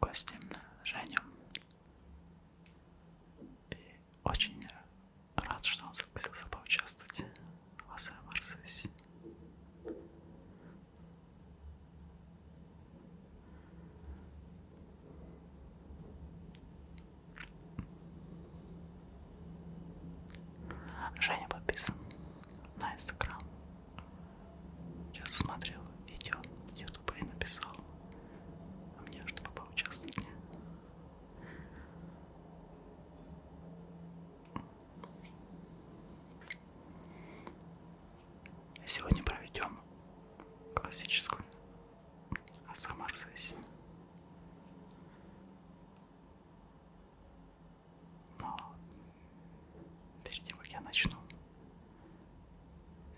Костин, Женю. И очень рад, что он согласился поучаствовать в АСМР-сессии. Женя подписан на Инстаграм я смотрел видео с Ютуба и написал. А мне чтобы поучаствовать. Сегодня проведем классическую асмр сессию но перед тем, как я начну,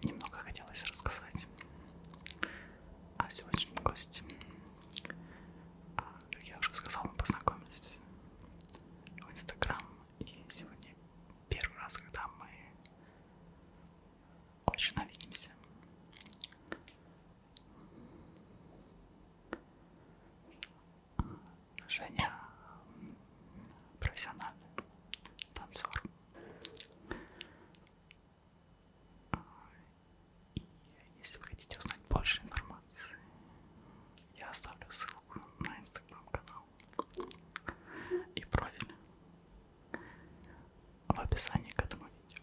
немного хотелось рассказать о сегодняшнем госте. А, как я уже сказал, мы познакомились в Инстаграм, и сегодня первый раз, когда мы очно видимся. Женя профессиональный танцор. И если вы хотите узнать больше информации, я оставлю ссылку на инстаграм-канал и профиль в описании к этому видео.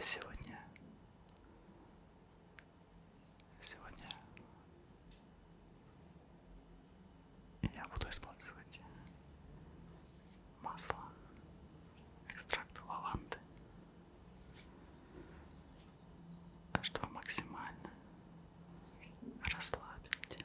сегодня, сегодня я буду использовать масло, экстракт лаванды, чтобы максимально расслабить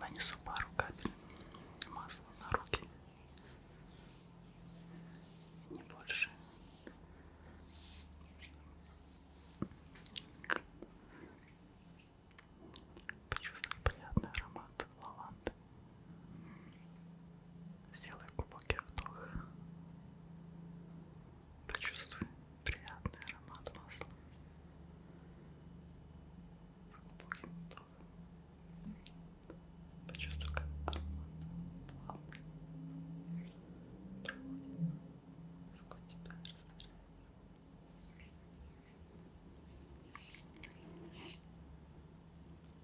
Нанесу пару капель масла на руки. Не больше. Почувствую приятный аромат лаванды. Сделай глубокий вдох. Почувствуй приятный аромат масла. Глубокий вдох. Почувствуй, как аромат плавно сквозь тебя растворяется.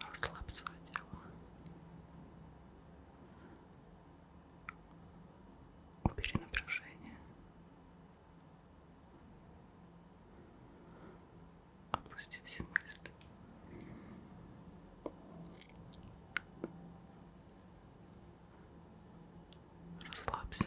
Расслабь свое тело. Убери напряжение. Отпусти все мысли. Расслабься.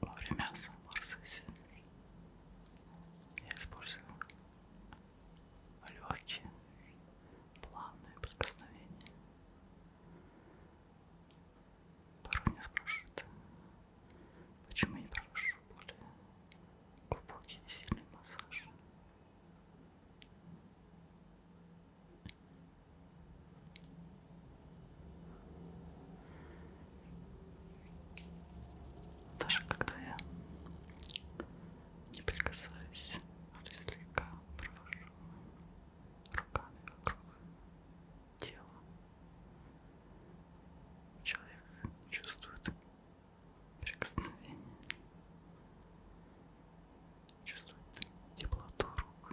Во время самой сессии я использую легкие, плавные прикосновения. Порой меня спрашивают, почему я не провожу более глубокий и сильный массаж. Даже когда я не прикасаюсь, или а слегка провожу руками вокруг тела, человек чувствует прикосновение. Чувствуется теплоту рук.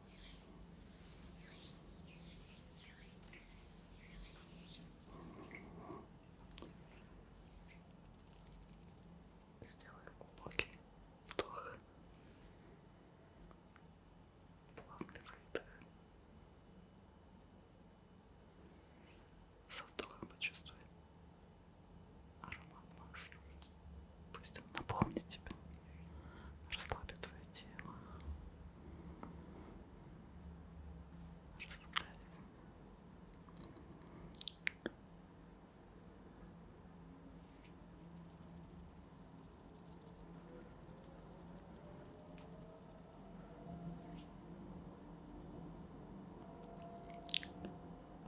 Сделаю глубокий вдох, плавный выдох. Со вдохом почувствуй аромат масла. Пусть он наполнит тебя, расслабит твое тело. Расслабляйся.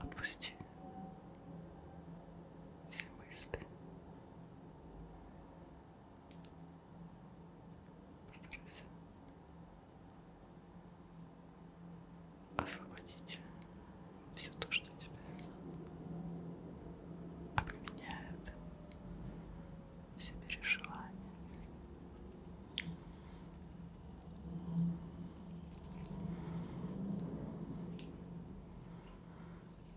Отпусти все мысли, Постарайся освободить все то, что тебя обременяет, все переживания.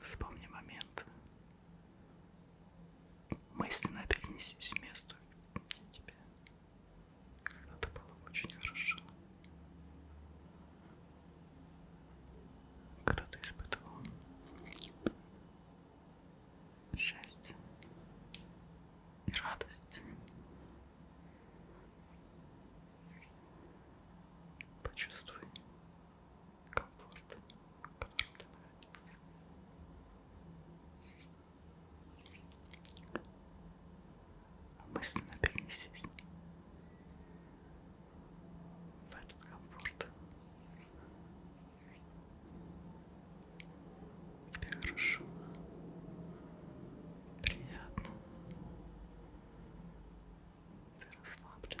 Вспомни момент. Мысленно перенесись в место, где тебе когда-то было очень хорошо. Кто ты испытывал? Счастье и радость. Почувствуй комфорт, в котором ты находишься. Мысленно перенесись комфорт. Тебе хорошо. Приятно. Ты расслаблен.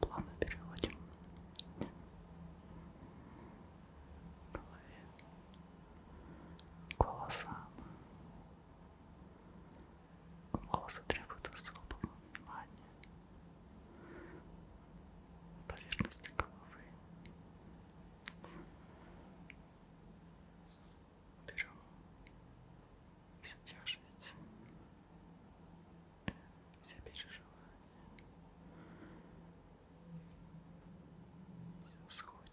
Плавно переводим голове, голосам. Волосы требуют особого внимания. Поверхности головы. Берем всю тяжесть, все переживания. Все сходит.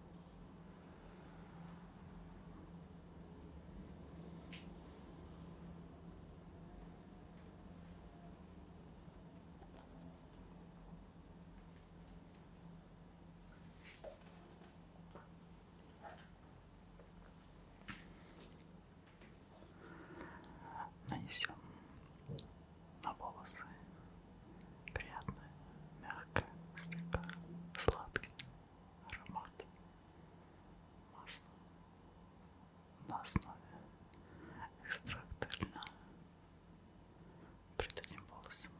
Нанесем на волосы. Приятный, мягкий, слегка сладкий аромат масла на основе экстракта льна. Придадим волосам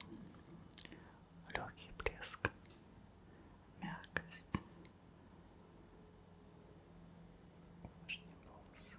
легкий блеск, мягкость. Увлажним волосы.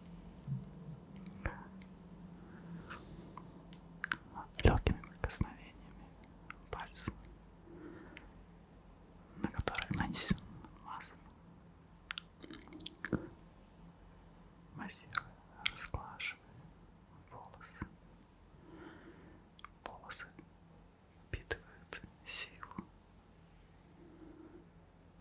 легкими прикосновениями пальцев, на которых нанесен масло, массируя, расклашивая волосы. Волосы впитывают силу,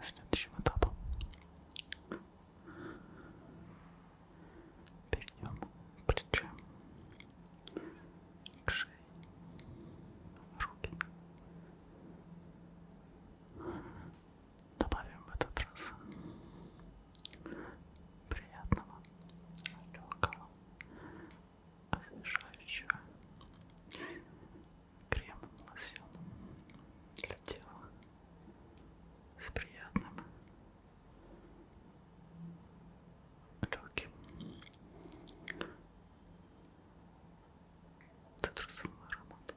следующим этапом перейдем плечом к шее, руки. Добавим в этот раз приятного, легкого, освежающего крем, лосьон для тела с приятным легким цитрусовым ароматом.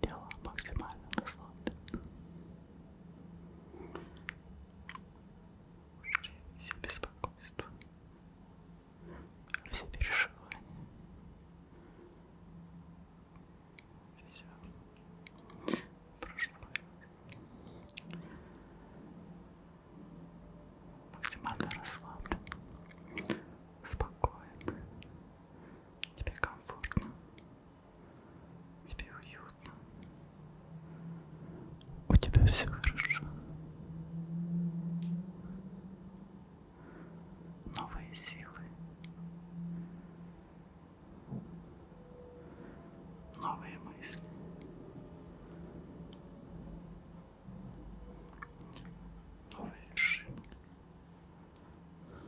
Тело максимально расслаблено. Все беспокойства, все переживания, все прошло. Максимально расслаблен спокоен, тебе комфортно, тебе уютно, у тебя все хорошо. Новые силы, новые мысли, новые вершины. Поэтому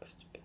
постепенно